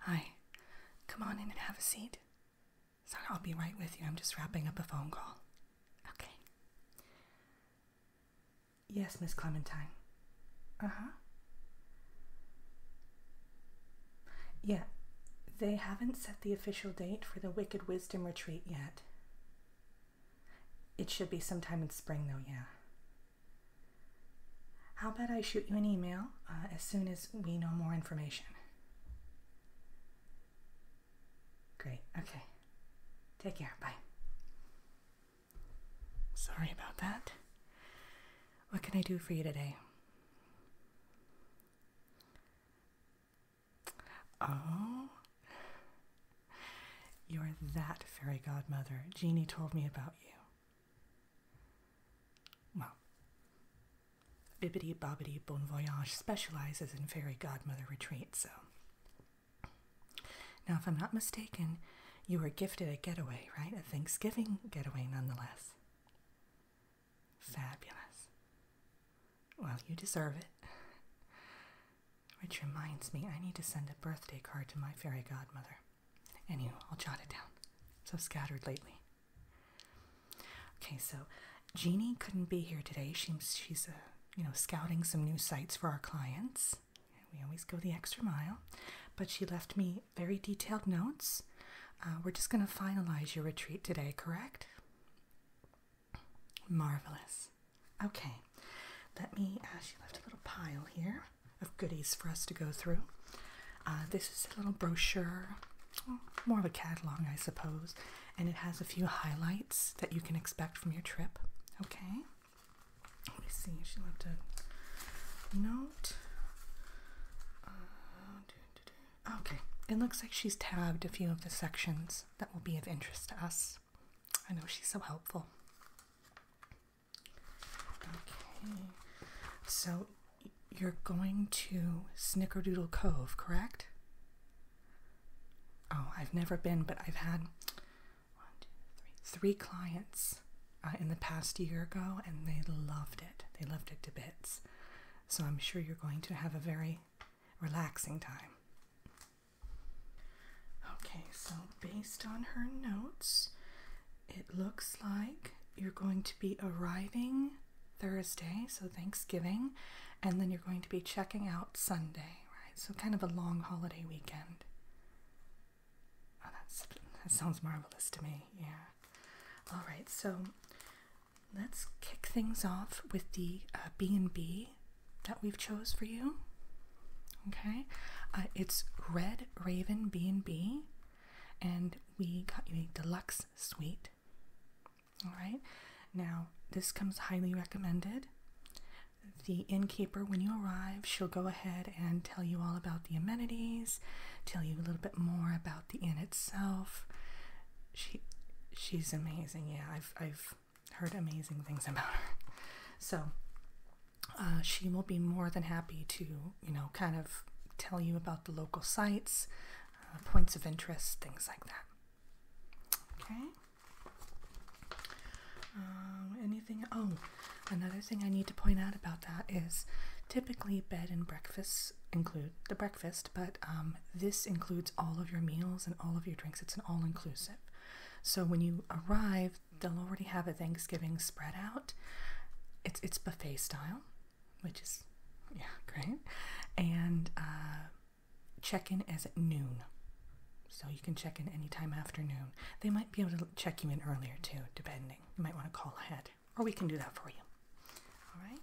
Hi. Come on in and have a seat. Sorry, I'll be right with you. I'm just wrapping up a phone call. Okay. Yes, Miss Clementine. Uh huh. Yeah, they haven't set the official date for the Wicked Wisdom retreat yet. It should be sometime in spring, though, yeah. How about I shoot you an email uh, as soon as we know more information? Great, okay. Take care, bye. Sorry about that. What can I do for you today? Oh, you're that fairy godmother Jeannie told me about you. Well, Bibbidi Bobbidi Bon Voyage specializes in fairy godmother retreats, so. Now, if I'm not mistaken, you were gifted a getaway, right? A Thanksgiving getaway, nonetheless. Fabulous. Well, you deserve it. Which reminds me, I need to send a birthday card to my fairy godmother. Anyway, I'll jot it down. So scattered lately. Okay, so Jeannie couldn't be here today. She, she's, uh, you know, scouting some new sites for our clients. We always go the extra mile. But she left me very detailed notes. Uh, we're just going to finalize your retreat today, correct? Marvelous. Okay, let me. Uh, she left a little pile here of goodies for us to go through. Uh, this is a little brochure, more of a catalog, I suppose, and it has a few highlights that you can expect from your trip. Okay, let me see. She left a note. Uh, okay, it looks like she's tabbed a few of the sections that will be of interest to us. I know she's so helpful. Okay, so you're going to Snickerdoodle Cove, correct? Oh, I've never been, but I've had three clients uh, in the past year ago, and they loved it. They loved it to bits. So I'm sure you're going to have a very relaxing time. Okay, so based on her notes, it looks like you're going to be arriving Thursday, so Thanksgiving, and then you're going to be checking out Sunday, right? So kind of a long holiday weekend. Oh, that's, that sounds marvelous to me, yeah. All right, so let's kick things off with the B&B uh, that we've chose for you. Okay, uh, it's Red Raven B and B, and we got you a deluxe suite. All right, now this comes highly recommended. The innkeeper, when you arrive, she'll go ahead and tell you all about the amenities, tell you a little bit more about the inn itself. She, she's amazing. Yeah, I've I've heard amazing things about her. So uh, she will be more than happy to, you know, kind of tell you about the local sites, uh, points of interest, things like that. Okay. Um, anything? Oh, another thing I need to point out about that is typically bed and breakfasts include the breakfast, but um, this includes all of your meals and all of your drinks. It's an all inclusive. So when you arrive, they'll already have a Thanksgiving spread out. It's it's buffet style, which is yeah great, and uh, check in as at noon. So you can check in anytime after noon. They might be able to check you in earlier too, depending. You might want to call ahead, or we can do that for you. All right.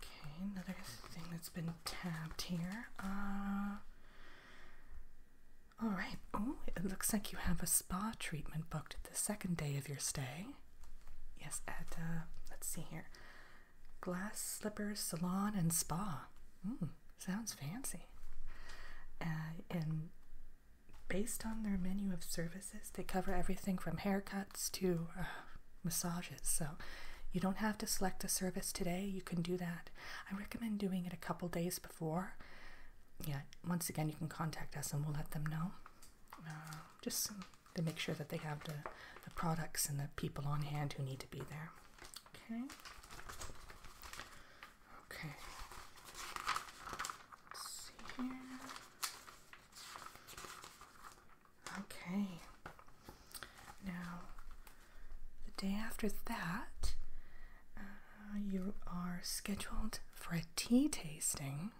Okay, another thing that's been tapped here. Uh, all right. Oh, it looks like you have a spa treatment booked the second day of your stay. Yes, at uh, let's see here, Glass Slippers Salon and Spa. Hmm, sounds fancy. Uh, and based on their menu of services, they cover everything from haircuts to massages. So you don't have to select a service today. You can do that. I recommend doing it a couple days before. Yeah, once again, you can contact us and we'll let them know. Uh, just to make sure that they have the, the products and the people on hand who need to be there. Okay. Okay. Let's see here. Okay. Now, the day after that, uh, you are scheduled for a tea tasting.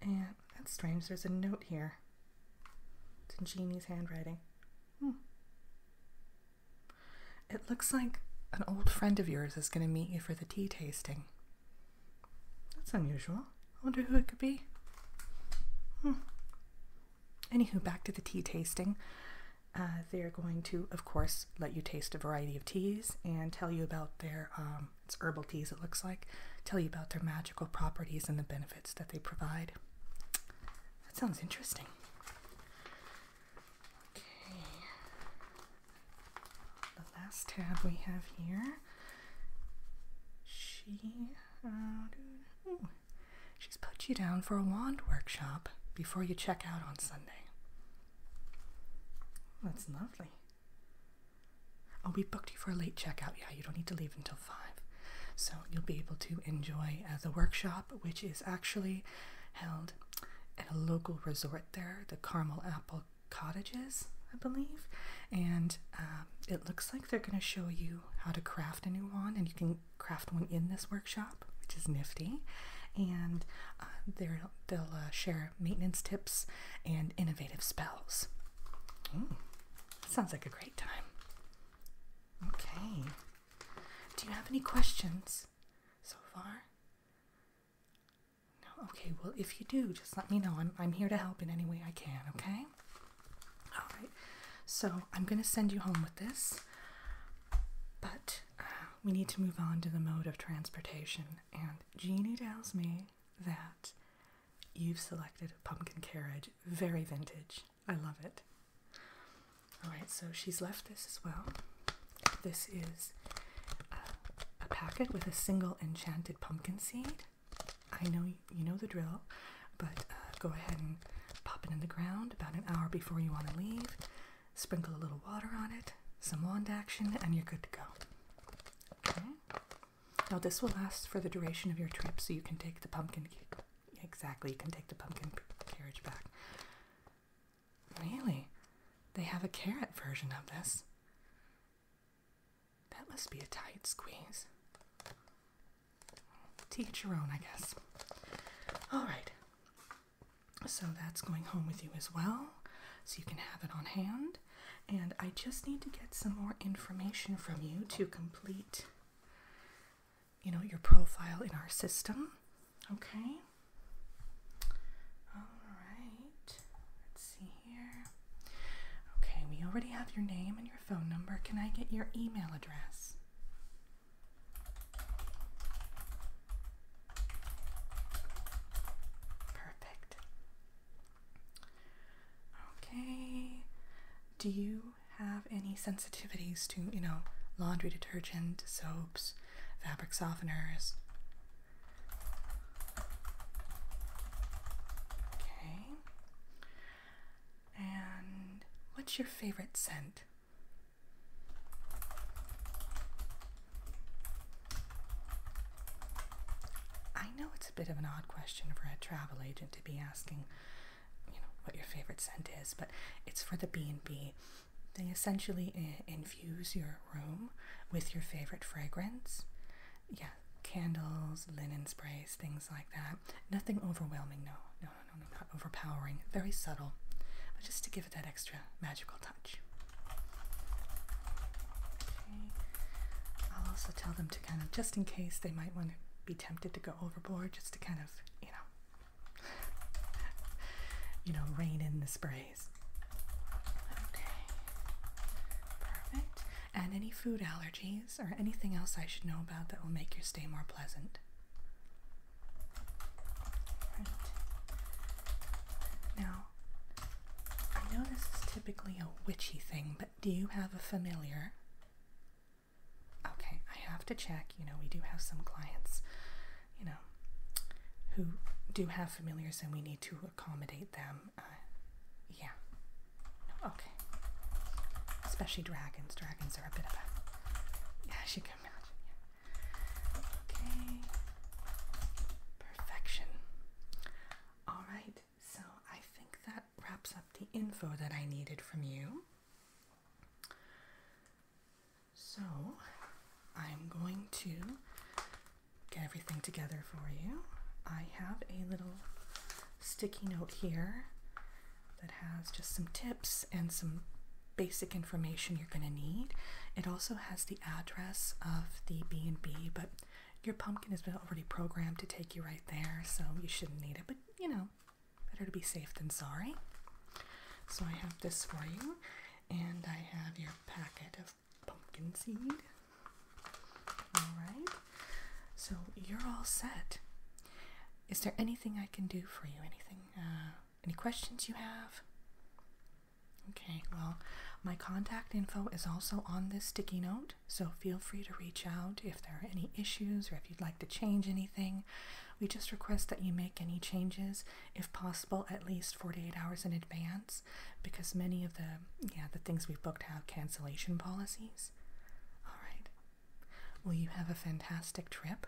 And that's strange, there's a note here. It's in Jeannie's handwriting. Hmm. It looks like an old friend of yours is going to meet you for the tea tasting. That's unusual. I wonder who it could be. Hmm. Anywho, back to the tea tasting. Uh, they're going to, of course, let you taste a variety of teas and tell you about their, um, it's herbal teas, it looks like, tell you about their magical properties and the benefits that they provide. That sounds interesting. Okay. The last tab we have here she, uh, she's put you down for a wand workshop before you check out on Sunday. That's lovely. Oh, we booked you for a late checkout. Yeah, you don't need to leave until 5. So you'll be able to enjoy uh, the workshop, which is actually held at a local resort there, the Carmel Apple Cottages, I believe. And uh, um, it looks like they're going to show you how to craft a new wand, and you can craft one in this workshop, which is nifty. And uh, they'll uh, share maintenance tips and innovative spells. Hmm. sounds like a great time. Okay. Do you have any questions so far? No? Okay, well, if you do, just let me know. I'm, I'm here to help in any way I can, okay? All right. So I'm going to send you home with this, but uh, we need to move on to the mode of transportation. And Jeannie tells me that you've selected pumpkin carriage. Very vintage. I love it. All right. So she's left this as well. This is uh, a packet with a single enchanted pumpkin seed. I know you know the drill, but uh, go ahead and pop it in the ground about an hour before you want to leave. Sprinkle a little water on it, some wand action, and you're good to go. Now this will last for the duration of your trip, so you can take the pumpkin. Exactly, you can take the pumpkin carriage back. Really, they have a carrot version of this. That must be a tight squeeze. Teach your own, I guess. Alright. So that's going home with you as well, so you can have it on hand. And I just need to get some more information from you to complete, you know, your profile in our system. Okay? Alright. Let's see here. Okay, we already have your name and your phone number. Can I get your email address? Perfect. Okay. Do you have any sensitivities to, you know, laundry detergent, soaps, fabric softeners, Okay. And what's your favorite scent? I know it's a bit of an odd question for a travel agent to be asking, you know, what your favorite scent is, but it's for the B&B. They essentially infuse your room with your favorite fragrance yeah, candles, linen sprays, things like that. Nothing overwhelming, no, no, no, no, not overpowering. Very subtle, but just to give it that extra magical touch. I'll also tell them to kind of, just in case they might want to be tempted to go overboard, just to kind of, you know, you know, rain in the spray. And any food allergies or anything else I should know about that will make your stay more pleasant? Now, I know this is typically a witchy thing, but do you have a familiar? Okay, I have to check. You know, we do have some clients, you know, who do have familiars and we need to accommodate them um, uh, yeah, okay. Especially dragons. Dragons are a bit of a, yeah, she can imagine. Okay, perfection. All right, so I think that wraps up the info that I needed from you. So I'm going to get everything together for you. I have a little sticky note here that has just some tips and some basic information you're going to need. It also has the address of the B&B, but your pumpkin has been already programmed to take you right there, so you shouldn't need it, but you know, better to be safe than sorry. So I have this for you, and I have your packet of pumpkin seed. Alright, so you're all set. Is there anything I can do for you? Anything? Uh, any questions you have? Okay, well, my contact info is also on this sticky note, so feel free to reach out if there are any issues or if you'd like to change anything. We just request that you make any changes, if possible, at least 48 hours in advance because many of the yeah the things we've booked have cancellation policies. All right. Well, you have a fantastic trip.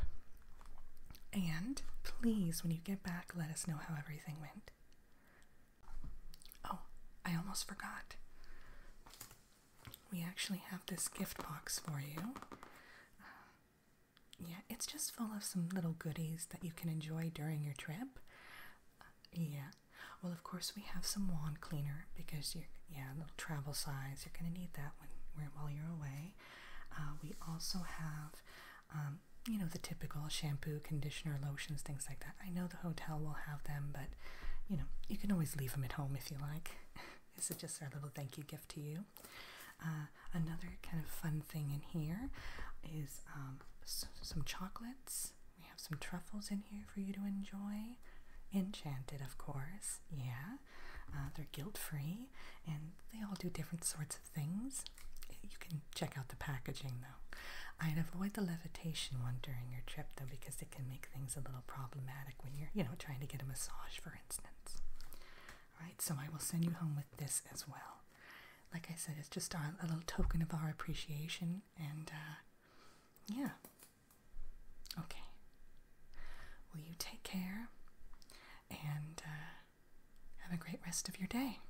And please, when you get back, let us know how everything went. Oh, I almost forgot. We actually have this gift box for you. Uh, yeah, it's just full of some little goodies that you can enjoy during your trip. Uh, yeah. Well, of course we have some wand cleaner because you yeah, little travel size. You're gonna need that when while you're away. Uh, we also have, um, you know, the typical shampoo, conditioner, lotions, things like that. I know the hotel will have them, but you know, you can always leave them at home if you like. this is just our little thank you gift to you. Uh, another kind of fun thing in here is um, some chocolates. We have some truffles in here for you to enjoy. Enchanted, of course, yeah. Uh, they're guilt free and they all do different sorts of things. You can check out the packaging though. I'd avoid the levitation one during your trip though because it can make things a little problematic when you're, you know, trying to get a massage, for instance. All right, so I will send you home with this as well like I said, it's just a little token of our appreciation. And uh, yeah. Okay. will you take care and uh, have a great rest of your day.